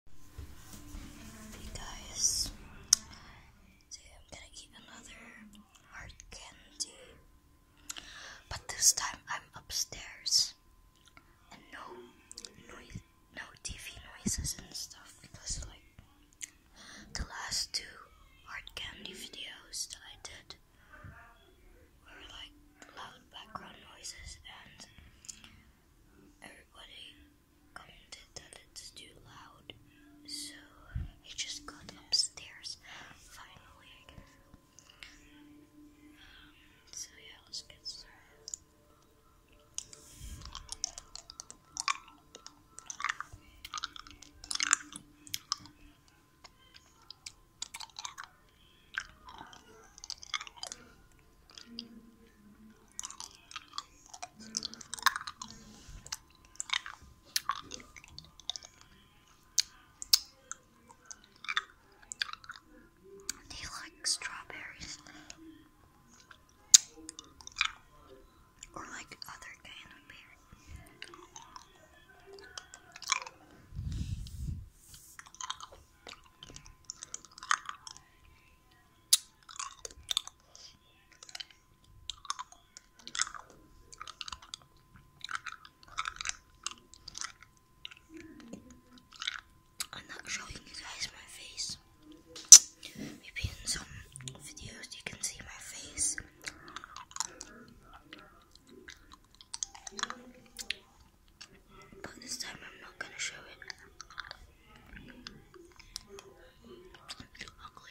Hey guys, I'm gonna eat another hard candy, but this time I'm upstairs and no no TV noises and stuff because like the last two hard candy videos that I did were like loud background noises and everybody commented that it's too loud, so he just got upstairs. Finally, um, so yeah, let's get started. He likes strawberries or like other kind of beer? I'm not showing you guys my face. Maybe in some videos you can see my face. But this time I'm not gonna show it. ugly.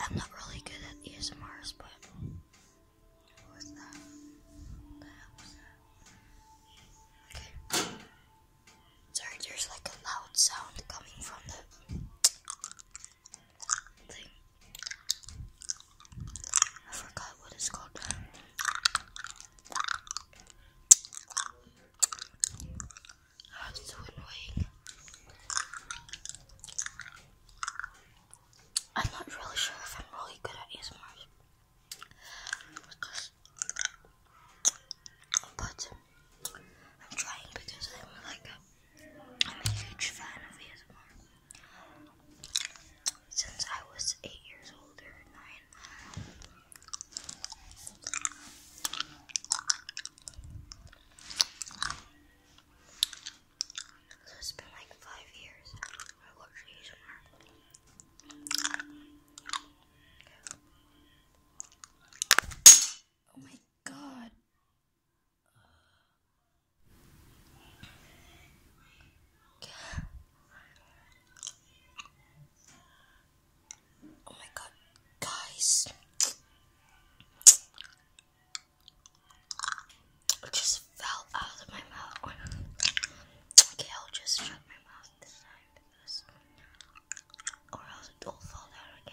I'm not really good at ASMRs, but Sorry, there's like a loud sound coming from the thing. I forgot what it's called. That's so annoying. I'm not really sure if I'm really good at ASMR. but I'm trying because I'm like a, I'm a huge fan of ASMR since I was eight years old or nine. So it's been like five years. I watched these Oh my god. Oh my god, guys. It just fell out of my mouth. okay, I'll just shut my mouth this time because, or else it will fall down again.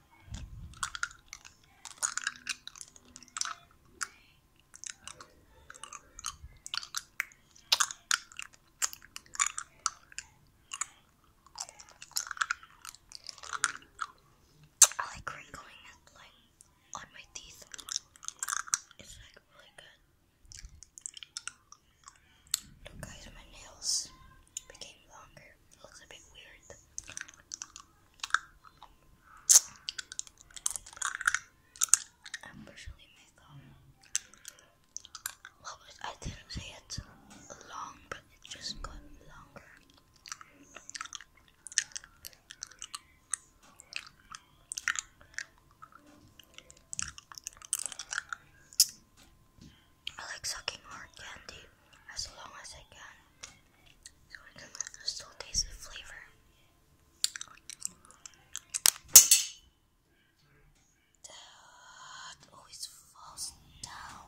I like wrinkling it like on my teeth. It's like really good. Look guys, my nails became longer. looks a bit weird. I'm personally I didn't say it's long, but it just got longer. I like sucking hard candy as long as I can, so I can still taste the flavor. That always falls down.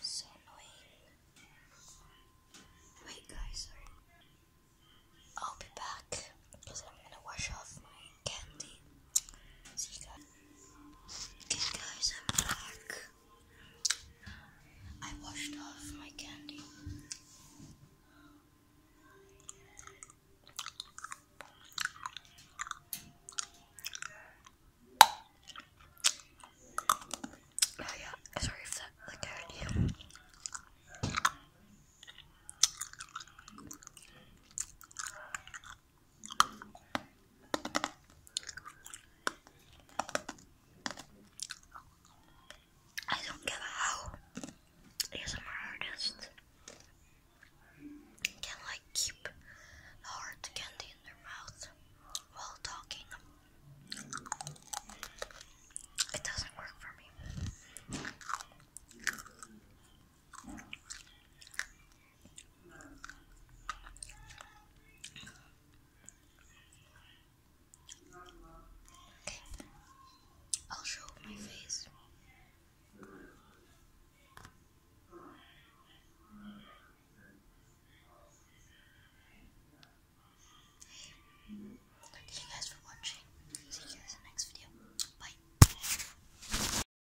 So annoying. Wait, guys, sorry. I'll be back because I'm gonna wash off my candy. So guys, I'm back. I washed off my candy. Oh yeah, sorry if that like hurt you. I don't get how ASMR artists can like keep hard candy in their mouth while talking. It doesn't work for me. Okay, I'll show my face. thank you guys for watching. See you guys in the next video. Bye.